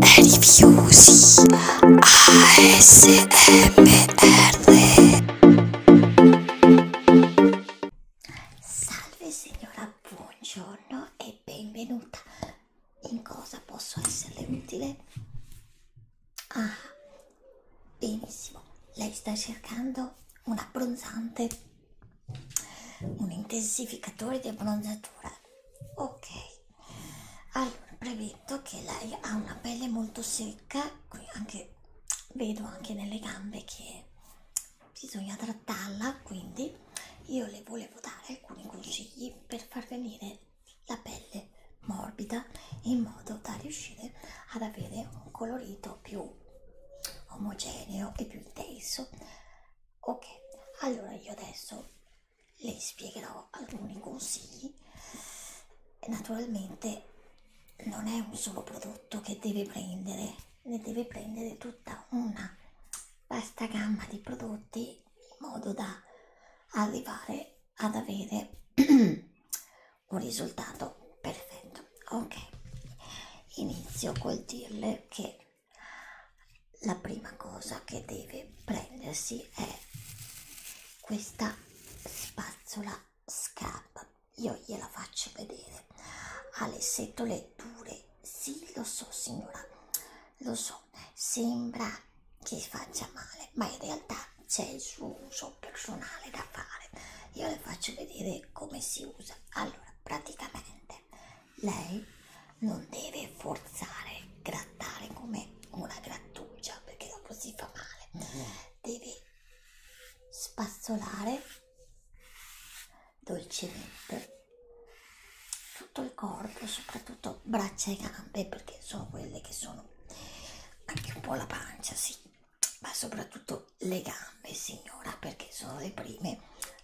Rifiusi ASMR Salve signora, buongiorno e benvenuta. In cosa posso esserle utile? Ah, benissimo. Lei sta cercando un abbronzante, un intensificatore di abbronzatura ok allora premetto che lei ha una pelle molto secca qui anche vedo anche nelle gambe che bisogna trattarla quindi io le volevo dare alcuni consigli per far venire la pelle morbida in modo da riuscire ad avere un colorito più omogeneo e più intenso ok allora io adesso le spiegherò alcuni consigli naturalmente non è un solo prodotto che deve prendere ne deve prendere tutta una vasta gamma di prodotti in modo da arrivare ad avere un risultato perfetto ok inizio col dirle che la prima cosa che deve prendersi è questa spazzola scarpa io gliela faccio vedere ha le setole dure sì lo so signora lo so sembra che faccia male ma in realtà c'è il suo uso personale da fare io le faccio vedere come si usa allora praticamente lei non deve forzare, grattare come una grattugia perché dopo si fa male, deve spazzolare dolcemente tutto il corpo, soprattutto braccia e gambe perché sono quelle che sono anche un po' la pancia, sì, ma soprattutto le gambe, signora, perché sono le prime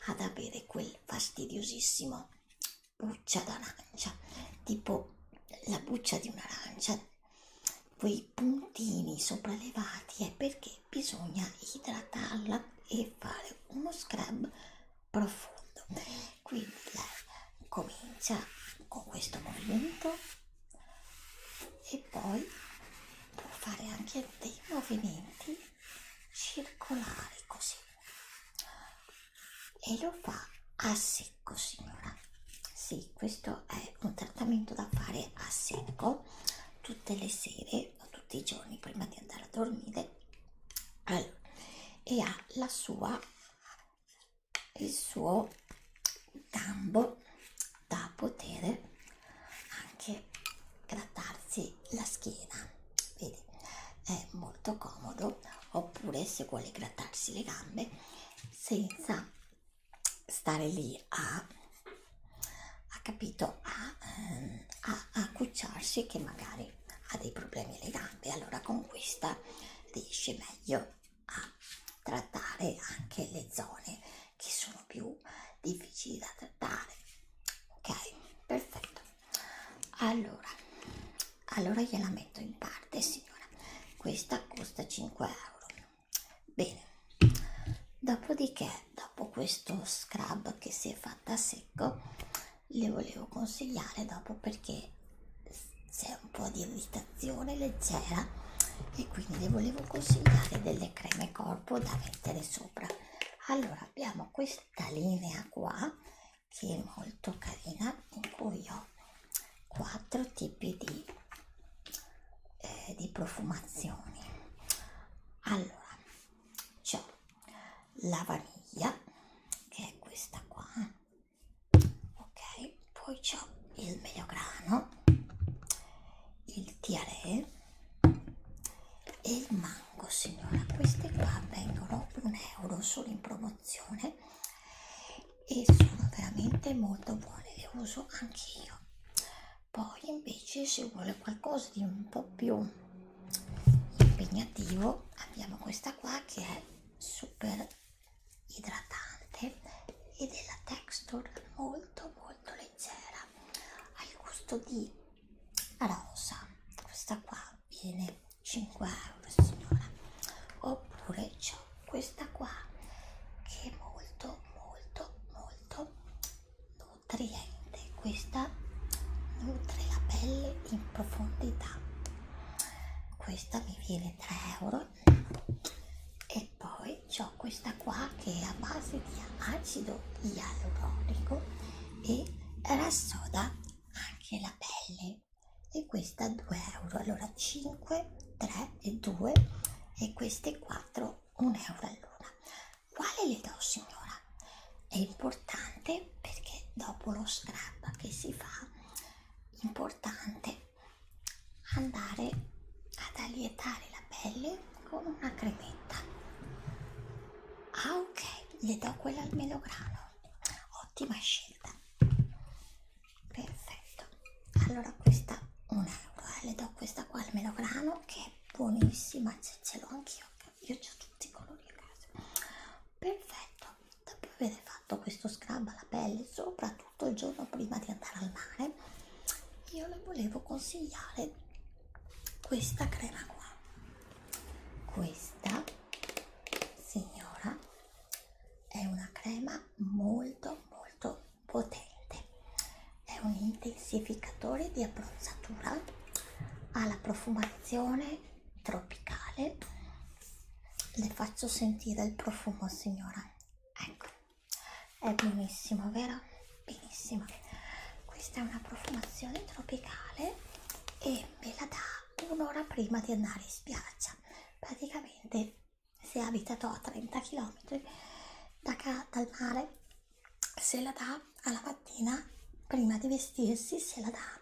ad avere quel fastidiosissimo una buccia d'arancia, tipo la buccia di un'arancia, quei puntini sopraelevati è perché bisogna idratarla e fare uno scrub profondo. Quindi lei comincia con questo movimento e poi può fare anche dei movimenti circolari così e lo fa a secco signora sì questo è un trattamento da fare a secco tutte le sere o tutti i giorni prima di andare a dormire allora, e ha la sua il suo gambo da poter anche grattarsi la schiena vedi è molto comodo oppure se vuole grattarsi le gambe senza stare lì a ha capito a, ehm, a, a accucciarsi che magari ha dei problemi alle gambe allora con questa riesce meglio a trattare anche le zone che sono più difficili da trattare ok perfetto allora allora gliela metto in parte signora questa costa 5 euro bene dopodiché dopo questo scrub che si è fatta a secco le volevo consigliare dopo perché c'è un po' di irritazione leggera e quindi le volevo consigliare delle creme corpo da mettere sopra allora abbiamo questa questa linea qua che è molto carina in cui ho quattro tipi di, eh, di profumazioni allora c'ho la vaniglia che è questa qua ok poi c'ho il melograno il tiare e il mango signora queste qua vengono un euro solo in promozione e sono veramente molto buone le uso anche io poi invece se vuole qualcosa di un po più impegnativo abbiamo questa qua che è super idratante ed è la texture molto molto leggera ha il gusto di alla rosa questa qua viene 5 euro signora oppure c'è questa qua che è molto molto molto nutriente questa nutre la pelle in profondità questa mi viene 3 euro e poi ho questa qua che è a base di acido ialuronico e rassoda anche la pelle e questa 2 euro allora 5 3 e 2 e queste 4 1 euro all'una quale le do signora è importante perché dopo lo scrap che si fa importante andare ad allietare la pelle con una cremetta. Ah ok, le do quella al melograno. Ottima scelta. Perfetto. Allora questa un euro, eh. le do questa qua al melograno che è buonissima, ce, ce l'ho anch'io, io ho tutti i colori a casa. Perfetto. Dopo aver fatto questo scrub alla pelle, soprattutto il giorno prima di andare al mare, io le volevo consigliare questa crema qua questa signora è una crema molto molto potente è un intensificatore di abbronzatura alla profumazione tropicale le faccio sentire il profumo signora ecco è buonissimo vero benissimo questa è una profumazione tropicale e me la dà un'ora prima di andare in spiaggia praticamente se abita a 30 km da ca dal mare se la dà alla mattina prima di vestirsi se la dà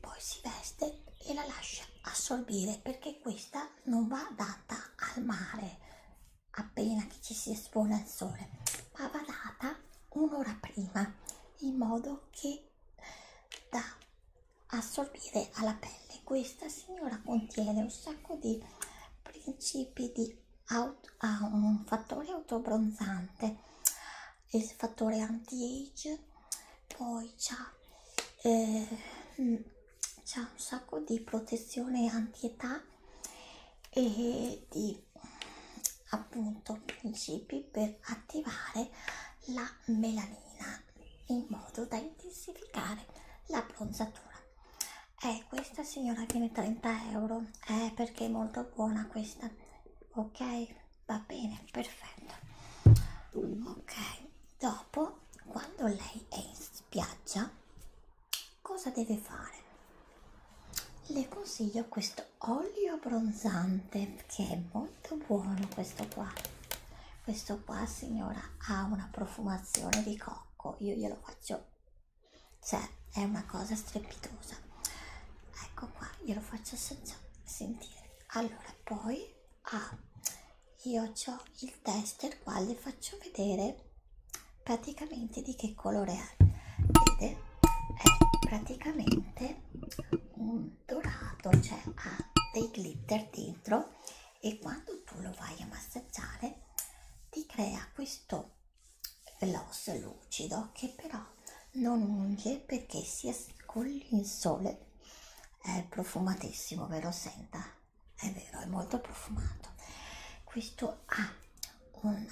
poi si veste e la lascia assorbire perché questa non va data al mare appena che ci si espone al sole, ma va data un'ora prima in modo che da assorbire alla pelle. Questa signora contiene un sacco di principi di auto, ah, un fattore autobronzante, il fattore anti-age, poi c'ha, eh, c'ha un sacco di protezione anti-età e di di appunto principi per attivare la melanina in modo da intensificare la bronzatura eh, questa signora viene 30 euro eh, perché è molto buona questa ok va bene perfetto ok dopo quando lei è in spiaggia cosa deve fare? Le consiglio questo olio bronzante che è molto buono questo qua. Questo qua signora ha una profumazione di cocco, io glielo faccio, cioè è una cosa strepitosa. Ecco qua, glielo faccio sentire. Allora poi ha ah, io ho il tester qua, le faccio vedere praticamente di che colore è? Vede? È praticamente un dorato, cioè ha dei glitter dentro e quando tu lo vai a massaggiare ti crea questo gloss lucido che però non unge perché si con il sole è profumatissimo ve lo senta è vero è molto profumato questo ha un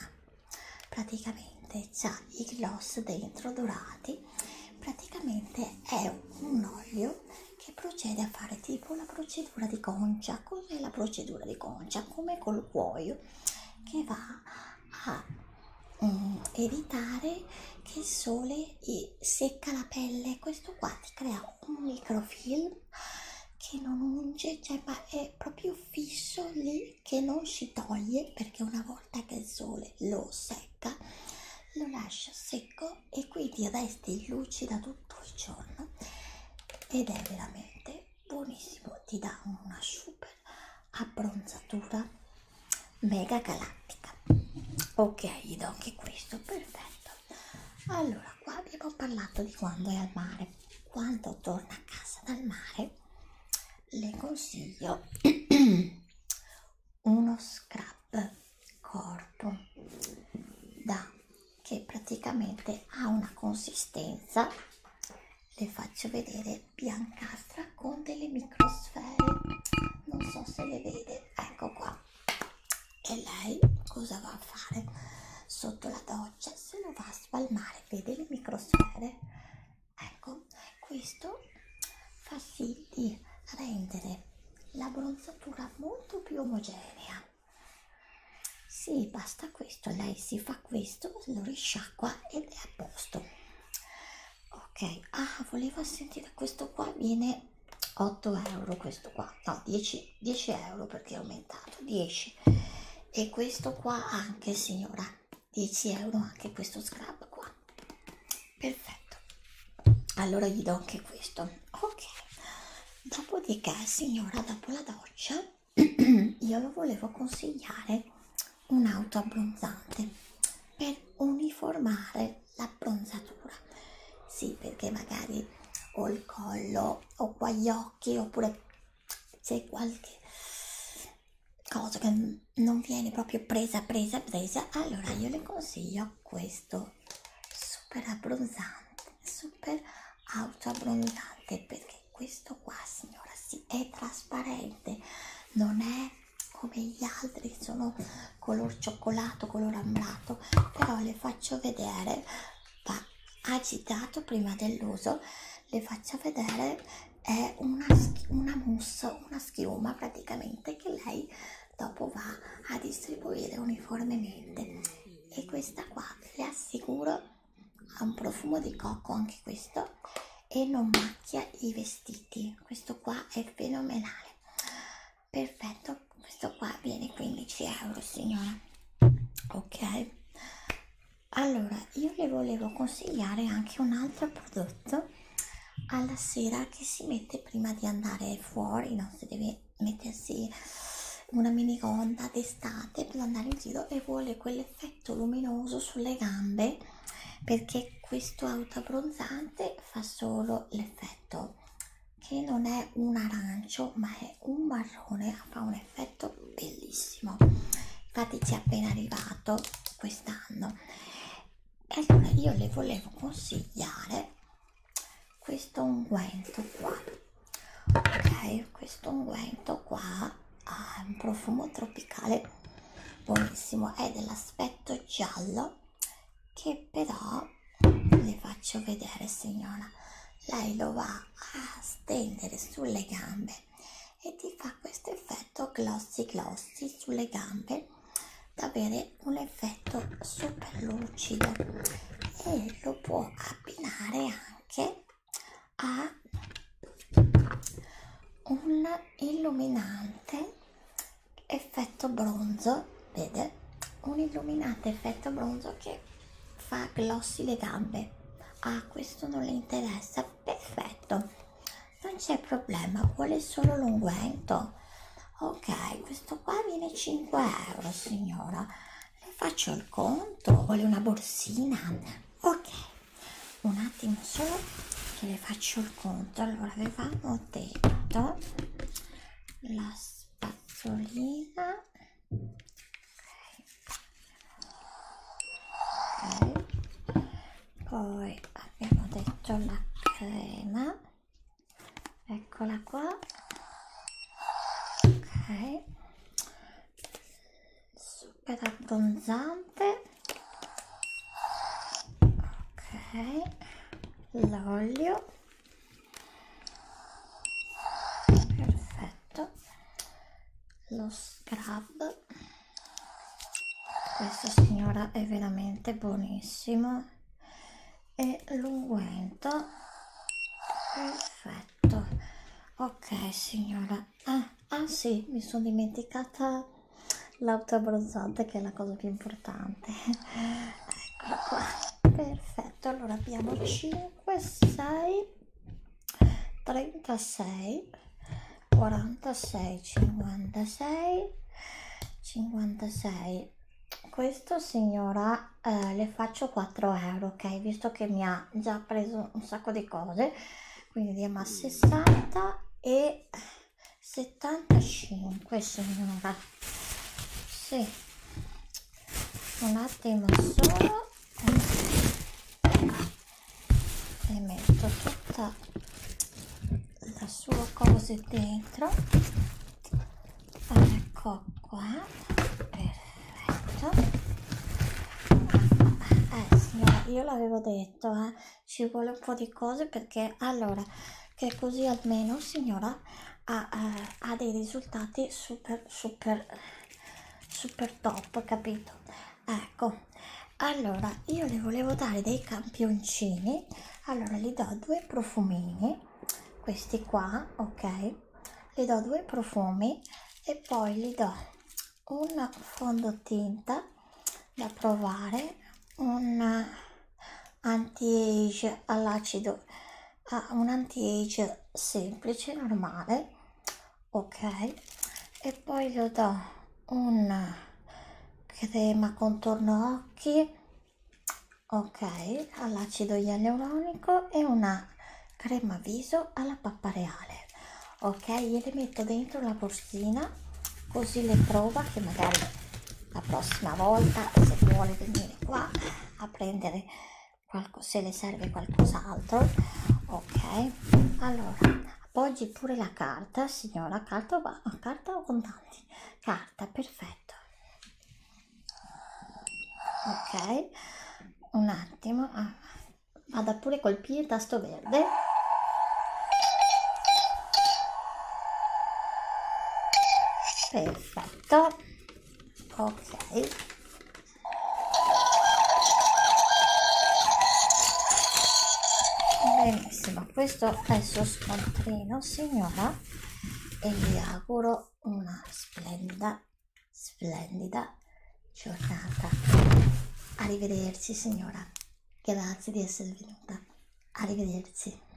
praticamente c'ha i gloss dentro dorati praticamente è un olio che procede a fare tipo la procedura di concia cos'è la procedura di concia come col cuoio che va a um, evitare che il sole eh, secca la pelle questo qua ti crea un microfilm che non unge, cioè ma è proprio fisso lì che non si toglie perché una volta che il sole lo secca lo lascia secco e quindi resti lucida tutto il giorno ed è veramente buonissimo ti dà una super abbronzatura mega galattica ok gli do anche questo perfetto allora qua abbiamo parlato di quando è al mare quando torna a casa dal mare le consiglio uno scrub corpo da che praticamente ha una consistenza le faccio vedere biancastra con delle microsfere non so se le vede ecco qua e lei cosa va a fare sotto la doccia se lo va a spalmare vede le microsfere ecco questo fa sì di rendere la bronzatura molto più omogenea sì basta questo lei si fa questo lo risciacqua ed è a posto ok ah voleva sentire questo qua viene 8 euro questo qua no 10, 10 euro perché è aumentato 10 e questo qua anche signora 10 euro anche questo scrub qua perfetto allora gli do anche questo ok dopodiché signora dopo la doccia io lo volevo consigliare un'auto abbronzante per uniformare l'abbronzatura sì perché magari ho il collo o qua gli occhi oppure c'è qualche cosa che non viene proprio presa presa presa allora io le consiglio questo super abbronzante super auto abbronzante perché questo qua signora si sì, è trasparente non è come gli altri che sono color cioccolato color ambrato però le faccio vedere va agitato prima dell'uso le faccia vedere è una, una mousse una schiuma praticamente che lei dopo va a distribuire uniformemente e questa qua le assicuro ha un profumo di cocco anche questo e non macchia i vestiti questo qua è fenomenale perfetto questo qua viene 15 euro signora ok allora io le volevo consigliare anche un altro prodotto alla sera che si mette prima di andare fuori non si deve mettersi una minigonda d'estate per andare in giro e vuole quell'effetto luminoso sulle gambe perché questo auto abbronzante fa solo l'effetto che non è un arancio ma è un marrone fa un effetto bellissimo infatti ci è appena arrivato quest'anno e allora io le volevo consigliare questo unguento qua ok questo unguento qua ha un profumo tropicale buonissimo è dell'aspetto giallo che però le faccio vedere signora lei lo va a stendere sulle gambe e ti fa questo effetto glossy glossy sulle gambe da avere un effetto super lucido e lo può abbinare anche a un illuminante effetto bronzo vede un illuminato effetto bronzo che fa glossi le gambe ah questo non le interessa perfetto non c'è problema vuole solo l'unguento ok questo qua viene 5 euro signora le faccio il conto vuole una borsina ok un attimo solo che le faccio il conto allora avevamo detto la spazzolina Okay. Poi abbiamo detto la crema, eccola qua. Ok, super abbronzante. Ok, l'olio perfetto lo scrub questa signora è veramente buonissimo e l'unguento perfetto ok signora ah, ah sì mi sono dimenticata l'auto abbronzante che è la cosa più importante eccola qua perfetto perfetto allora abbiamo 5 6 36 46 56 56 questo signora eh, le faccio 4 euro ok visto che mi ha già preso un sacco di cose quindi andiamo a 60 e 75 signora sì un attimo solo e metto tutta la sua cosa dentro ecco qua perfetto eh signora io l'avevo detto eh ci vuole un po' di cose perché allora che così almeno signora ha, eh, ha dei risultati super super super top capito ecco allora io le volevo dare dei campioncini allora gli do due profumini questi qua ok le do due profumi e poi gli do un fondotinta da provare un anti age all'acido ha ah, un anti-age semplice, normale, ok, e poi gli do una crema contorno occhi, ok, all'acido ialuronico e una crema viso alla pappa reale, ok, gliele metto dentro la borschina così le prova che magari la prossima volta se vuole venire qua a prendere qualcosa se le serve qualcos'altro ok allora appoggi pure la carta signora carta o, carta o contanti carta perfetto ok un attimo ah, vada pure a colpire il tasto verde perfetto fatto ok benissimo questo è il suo scontrino signora e vi auguro una splendida splendida giornata arrivederci signora grazie di essere venuta arrivederci